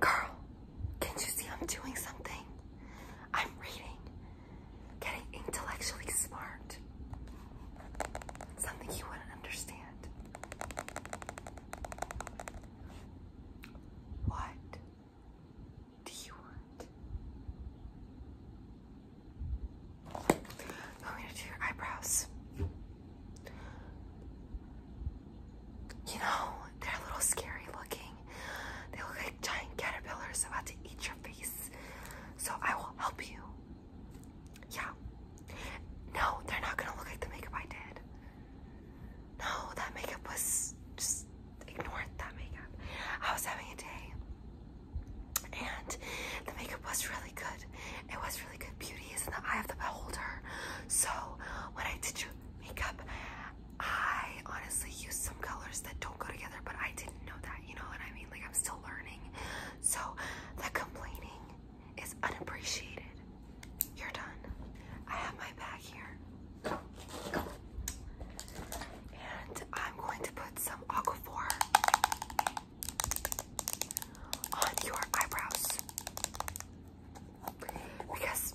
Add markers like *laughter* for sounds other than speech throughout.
Girl, can't you see I'm doing something? I'm reading, getting intellectually smart. Something you wouldn't understand. What do you want? You want me to do your eyebrows? you know, they're a little scary looking. They look like giant caterpillars about to eat your face. So I will help you. Yeah. No, they're not gonna look like the makeup I did. No, that makeup was just ignore that makeup. I was having a day. And the makeup was really good. It was really good. Beauty is in the eye of the beholder. So when I did your makeup, I honestly use some colors that don't go together, but I didn't know that, you know what I mean? Like, I'm still learning. So, the complaining is unappreciated. You're done. I have my bag here. And I'm going to put some aquaphor on your eyebrows because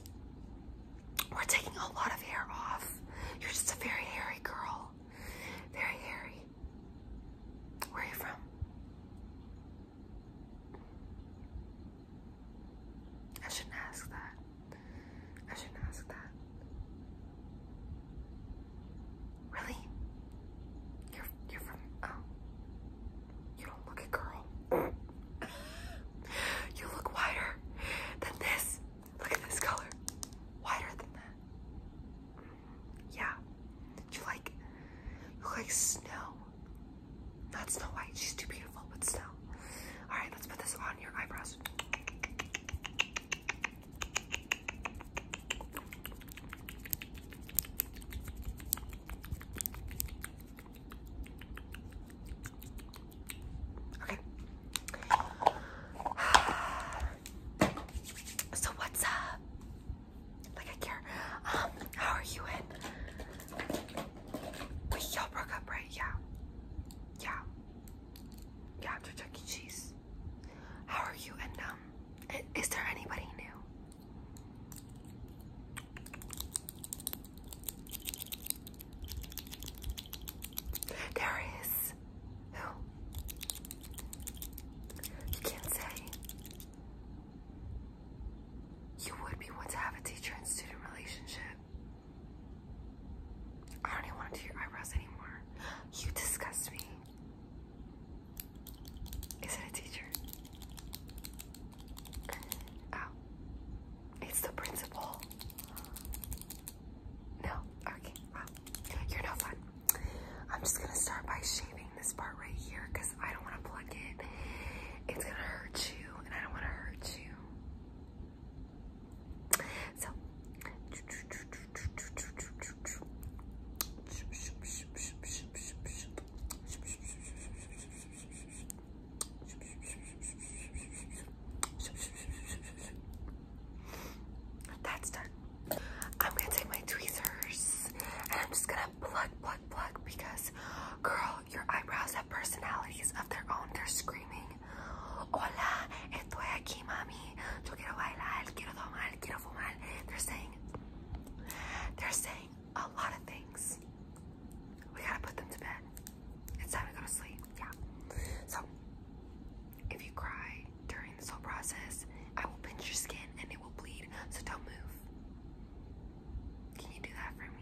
we're taking a lot of hair off. You're just a very hairy girl. Very hairy. Where are you from? I shouldn't ask that. I shouldn't ask that. Really? You're you're from oh. You don't look a girl. *laughs* You look whiter than this. Look at this color. Whiter than that. Yeah. You like you like snow. Not Snow White. She's too beautiful, but snow. Alright, let's put this on your eyebrows. Okay. *sighs* So what's up? Like I care. Um, how are you in? Wait, y'all broke up, right? Yeah. Yeah. Yeah, after Chuck Cheese. How are you and um is there anybody new? There is You can't say. You would be one to have a teacher and student relationship. I don't even want to do your eyebrows anymore. You disgust me. Is it a teacher? Ow. It's the principal. No, okay, you're no fun. I'm just gonna start by shaving this part right here because I don't wanna pluck it. It's gonna hurt you and I don't wanna hurt you. So, that's done. I'm gonna take my tweezers and I'm just gonna pluck, pluck, pluck because, girl, your eyebrows have personalities of their own. They're screaming, Hola, estoy aquí, mami. Yo quiero bailar, quiero tomar, quiero fumar. They're saying, they're saying a lot of things. We gotta put them to bed. It's time to go to sleep. Yeah. So, if you cry during this whole process, I will pinch your skin and it will bleed. So don't move. Can you do that for me?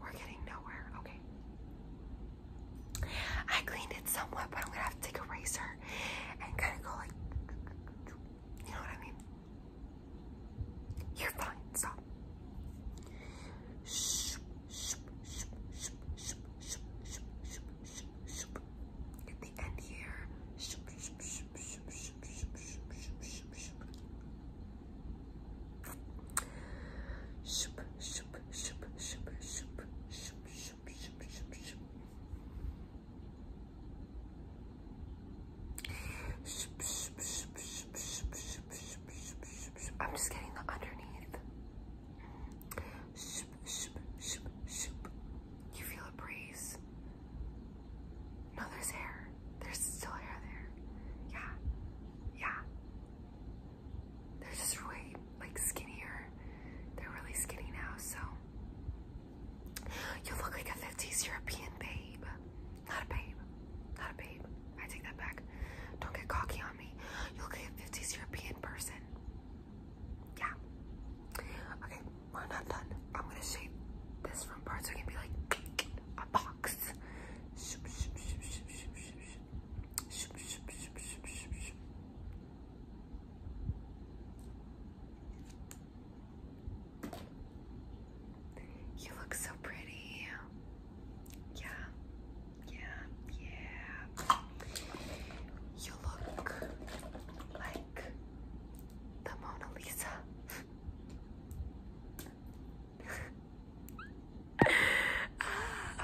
We're getting nowhere. Okay. I cleaned it somewhat, but I'm gonna have to take a razor and kind of go like, you know what I mean? You're fine. Stop. At the end here. I'm just getting the underneath. Shoop, shoop, shoop, shoop. You feel a breeze. No, there's hair. There's still hair there. Yeah. Yeah. They're just really like skinnier. They're really skinny now, so you look like a 50s European babe. Not a babe. Not a babe. I take that back. Don't get cocky on me. You look like a 50s European person yeah. Okay, we're not done. I'm gonna shape this from parts so it can be like a box. You look so pretty. Yeah. Yeah, yeah. You look like the Mona Lisa.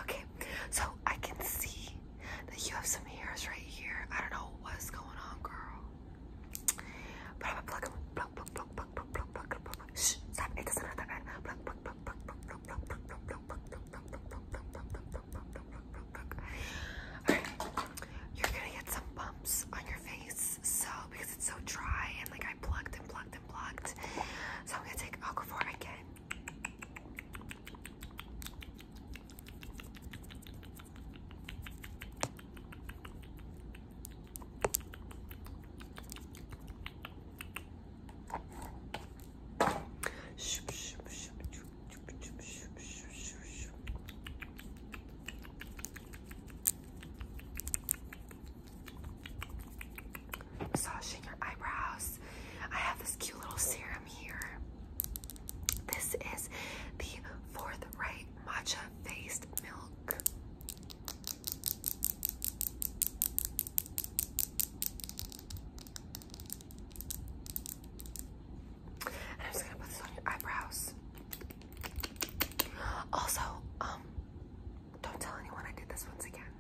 okay, so I can see that you have some hairs right here. I don't know what's going on, girl. But I'm going Alright, you're gonna get some bumps on your face, so because it's so dry and like I plugged and plugged and plugged. So I'm gonna take Aquaphor again. Massaging your eyebrows. I have this cute little serum here. This is the Fourth Right Matcha Faced Milk. I'm just gonna put this on your eyebrows. Also, um, don't tell anyone I did this once again.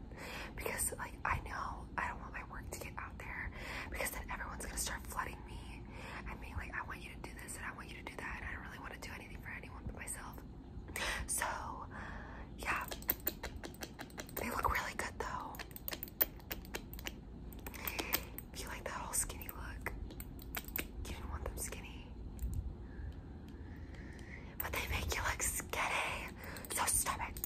Because like I know I don't want my work to get out there because then everyone's gonna start flooding me and being like, I want you to do this and I want you to do that, and I don't really want to do anything for anyone but myself. So yeah. They look really good though. If you like that whole skinny look, you didn't want them skinny. But they make you look skinny. So stop it.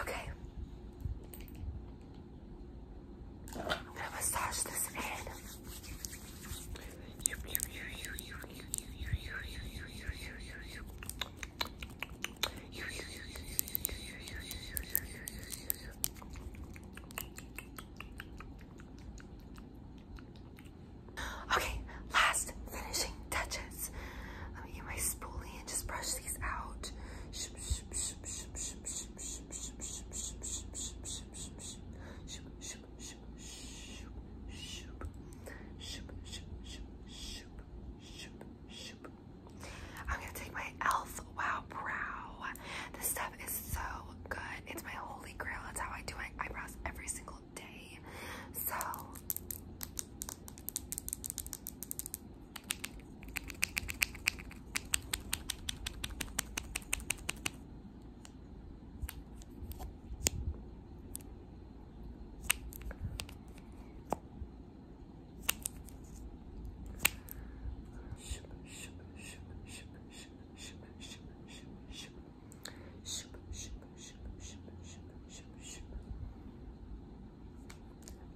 Okay. I'm gonna massage this head. Okay, last finishing touches. Let me get my spoolie and just brush these out. I'm gonna take my elf wow brow. This stuff is so good. It's my holy grail. That's how I do my eyebrows every single day. So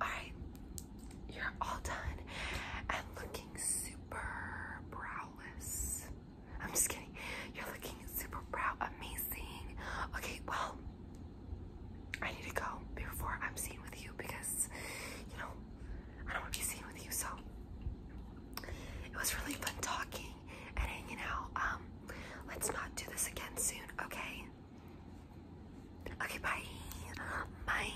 all right, you're all done. i looking super browless. I'm just kidding. You're looking super brow amazing. Okay, well, I need to go before I'm seen with you because, you know, I don't want to be seen with you. So it was really fun talking and hanging out. Um, let's not do this again soon, okay? Okay, bye. Bye.